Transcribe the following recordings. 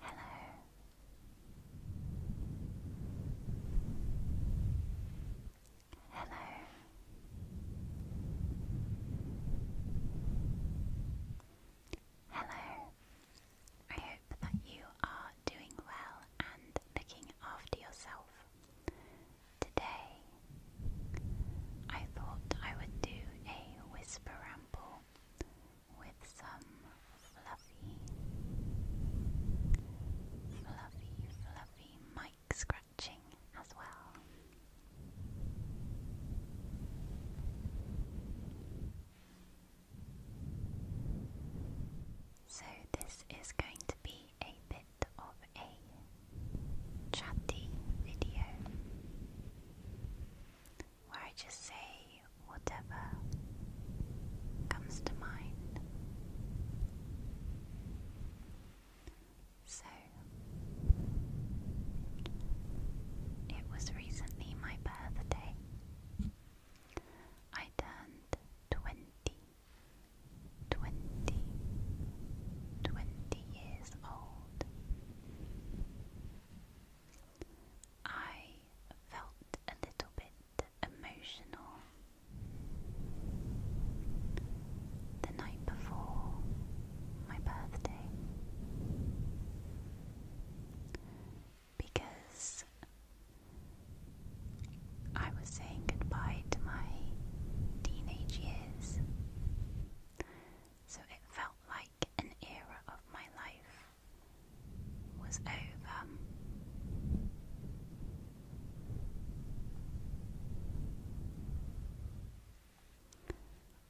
Hello. Hello. Hello. I hope that you are doing well and looking after yourself. Today, I thought I would do a whisper ramble with some fluffy, fluffy, fluffy mic scratching as well. So, this is going to be a bit of a chatty video where I just say whatever comes to mind. So, it was recently my birthday. I turned 20, years old. I felt a little bit emotional the night before my birthday because I was saying goodbye to my teenage years so it felt like an era of my life was over.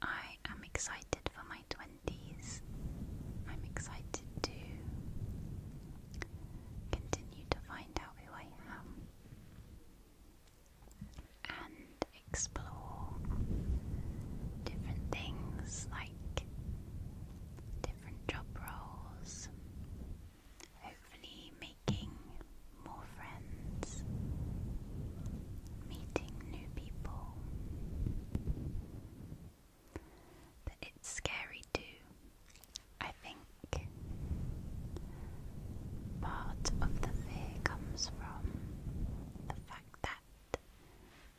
I am excited for my 20s. I'm excited to continue to find out who I am and explore different things like different job roles, hopefully, making more friends, meeting new people. But it's scary too, I think. Part of the fear comes from the fact that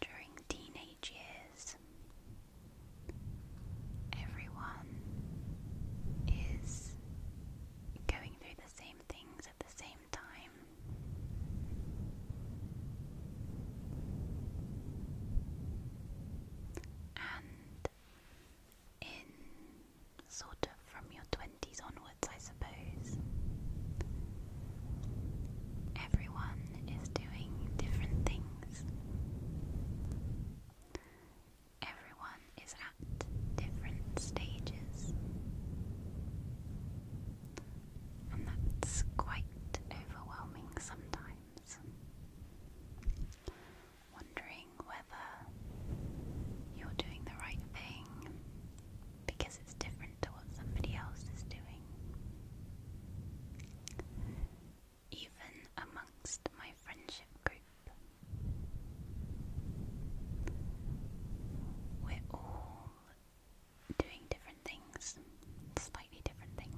during teenage years, everyone is going through the same things at the same time. And in sort of from your 20s onwards, I suppose. Everyone is doing different things. Everyone is at different stages. And that's quite overwhelming sometimes. Wondering whether you're doing the right thing because it's different to what somebody else is doing. Even amongst my friendship group, we're all doing different things, slightly different things.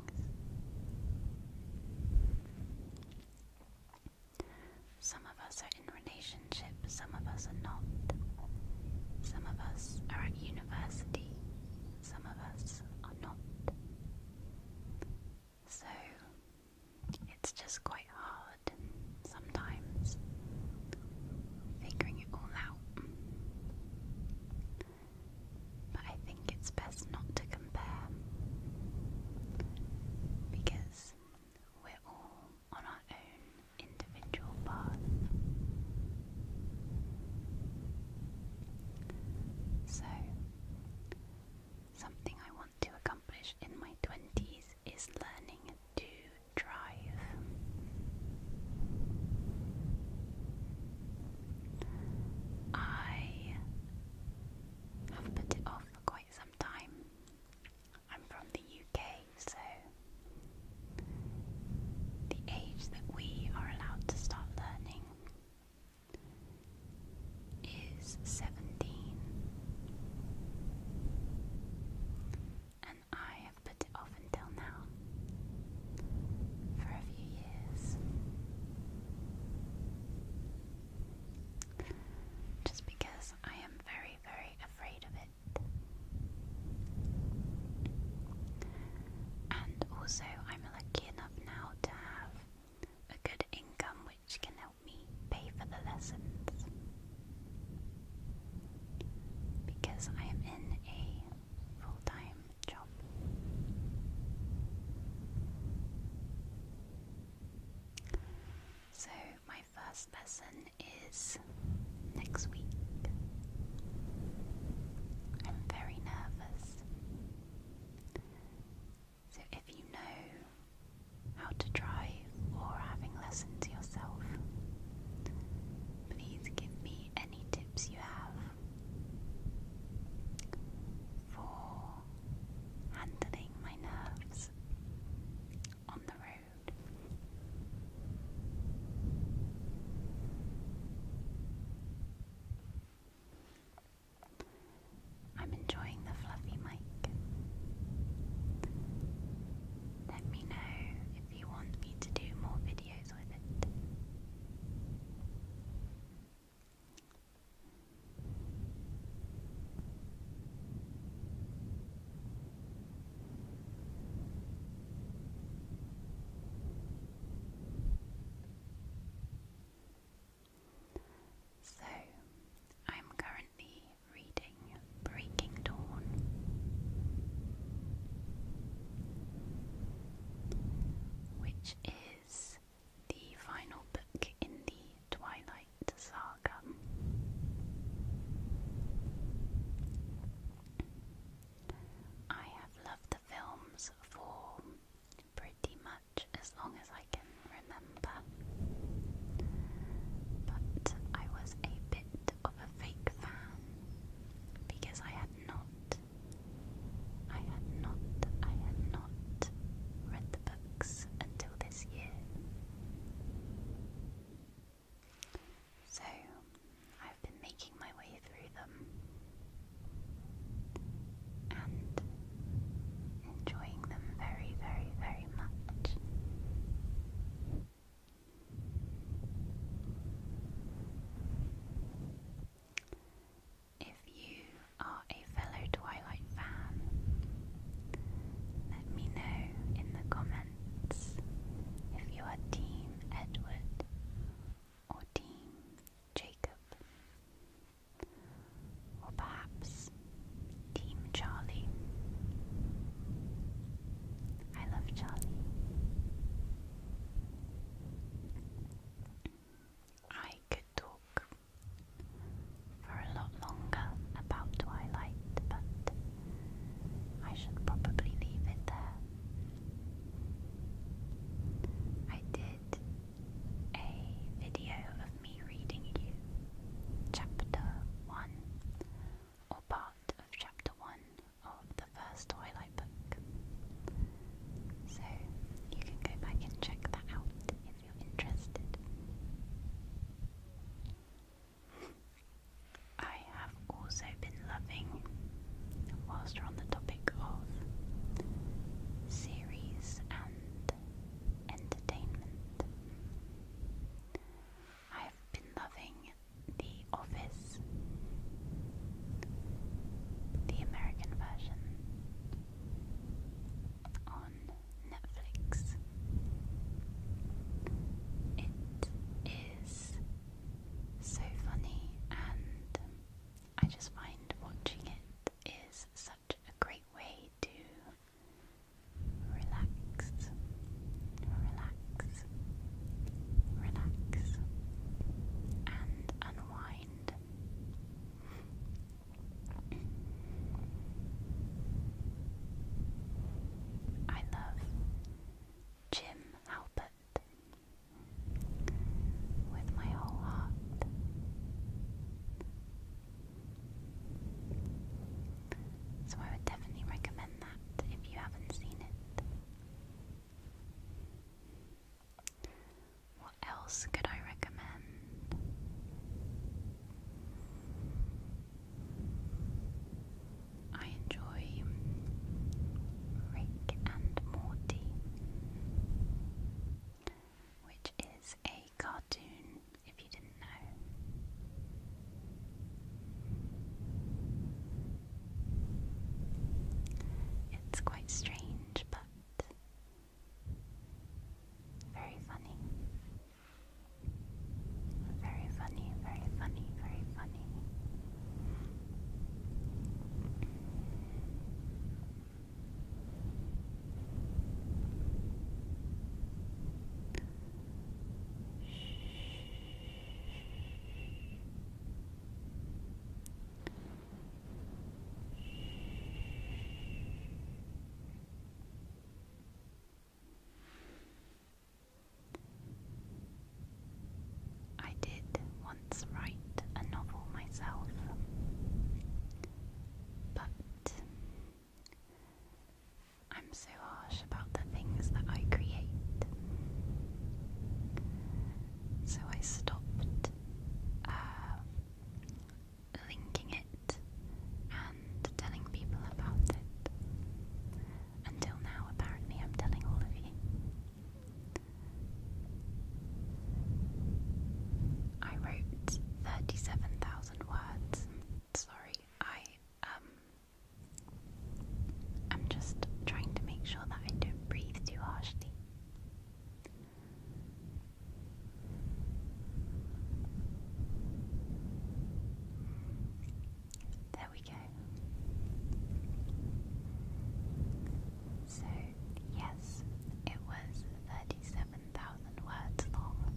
Some of us are in relationships. some of us are not. Some of us are at university, some of us are not. So it's just quite hard sometimes figuring it all out. But I think it's best not to compare because we're all on our own individual path. So, something I want to accomplish in my 20s is learning to drive. I have put it off for quite some time. I'm from the UK, so the age that we are allowed to start learning is 17. And I have put it off until now for a few years. Just because I am very very, afraid of it. And also, I'm lucky enough now to have a good income which can help me pay for the lessons. Because I am in a full time job. So, my first lesson is next week. I'm very nervous. So if you know how to drive or having lessons yourself, please give me any tips you have for handling my nerves I'm enjoying the fluffy mic. Let me know if you want me to do more videos with it. So, I'm currently reading Breaking Dawn. Which is the final book in the Twilight Light Saga. I have loved the films for pretty much as long as I can remember, but I was a bit of a fake fan because I had not, I had not, I had not read the books until this year. So, I've been making my way through them and enjoying them very, very, very much. If you are a fellow Twilight fan? Let me know in the comments if you are Team Edward or Team Jacob, or perhaps Team Charlie. I love Charlie. I could talk for a lot longer about Twilight, but I should probably leave it there. I did a video of me reading you chapter 1 or part of chapter 1 of the first Twilight book. So you can go back and check that out if you're interested. I have also been loving, whilst we're on the topic of series and entertainment, I have been loving The Office, the American version, Netflix. It is so funny, and I just find watching it is such a great way to relax, relax, relax, and unwind. I love Jim Halpert with my whole heart. So I would definitely recommend that if you haven't seen it. What else could I recommend? I enjoy Rick and Morty, which is a cartoon, if you didn't know. It's quite strange, but very funny. Very funny, very funny, very funny. Shh. I did once write a novel myself, but I'm so harsh about the things that I create. So I stopped uh, linking it and telling people about it. Until now, apparently, I'm telling all of you. I wrote 37,000 words. Sorry, I, um, I'm just trying to make sure that I don't breathe too harshly. There we go. So, yes, it was 37,000 words long.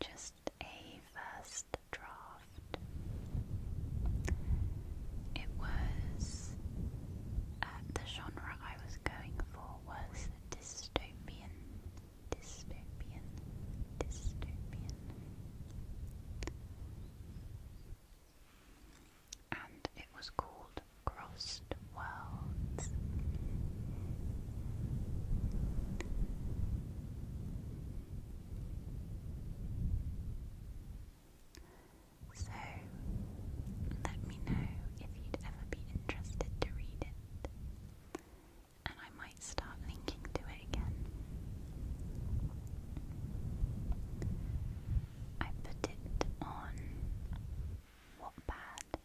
Just a first draft. It was uh, the genre I was going for was dystopian, dystopian, dystopian. And it was called Crossed Worlds. So, let me know if you'd ever be interested to read it. And I might start linking to it again. I put it on Wattpad,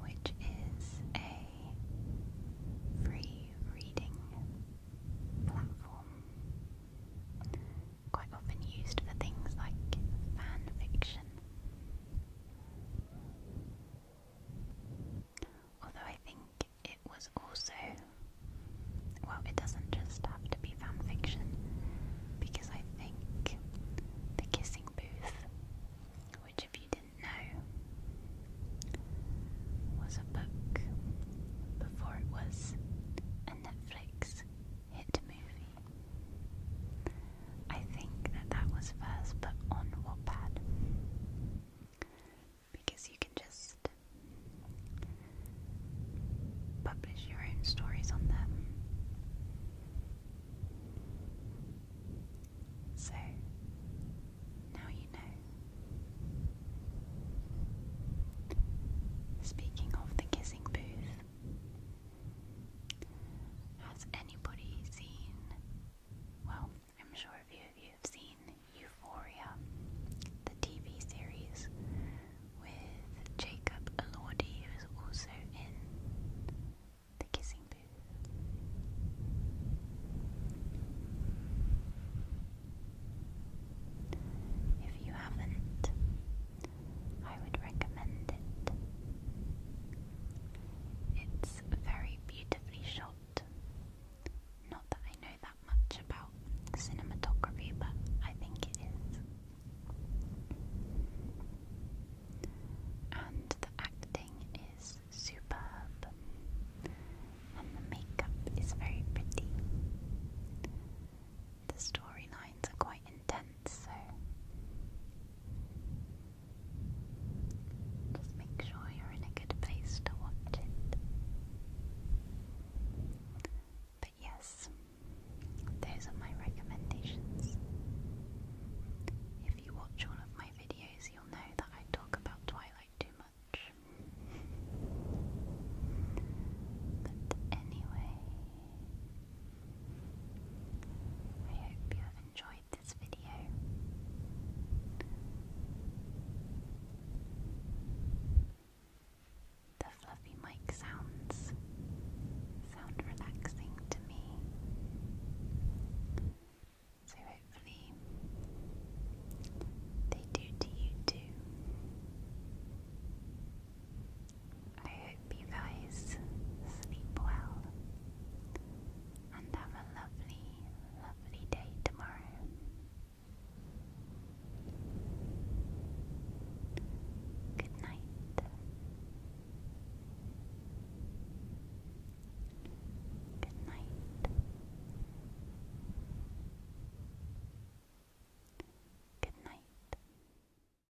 which is a free reading platform, quite often used for things like fan fiction. Although I think it was also, well, it doesn't just have to be fan fiction, because I think The Kissing Booth, which, if you didn't know, was a book before it was a Netflix hit movie. I think that that was first, but on Wattpad. Because you can just publish your own stories on them. So, now you know. Speaking of the kissing booth, has anybody seen? Well, I'm sure a few of you have seen Euphoria, the TV series with Jacob Elordi, who is also in The Kissing Booth. If you haven't, I would recommend it. It's very beautifully shot. Not that I know that much about cinematography, but I think it is. And the acting is superb, and the makeup is very pretty the storylines are quite intense, so just make sure you're in a good place to watch it. But yes, those are my recommendations. If you watch all of my videos, you'll know that I talk about Twilight too much. But anyway, I hope you have enjoyed this video. The fluffy mic sounds sound relaxing to me. So hopefully they do to you too. I hope you guys sleep well and have a lovely, lovely day tomorrow. Good night. Good night. Good night.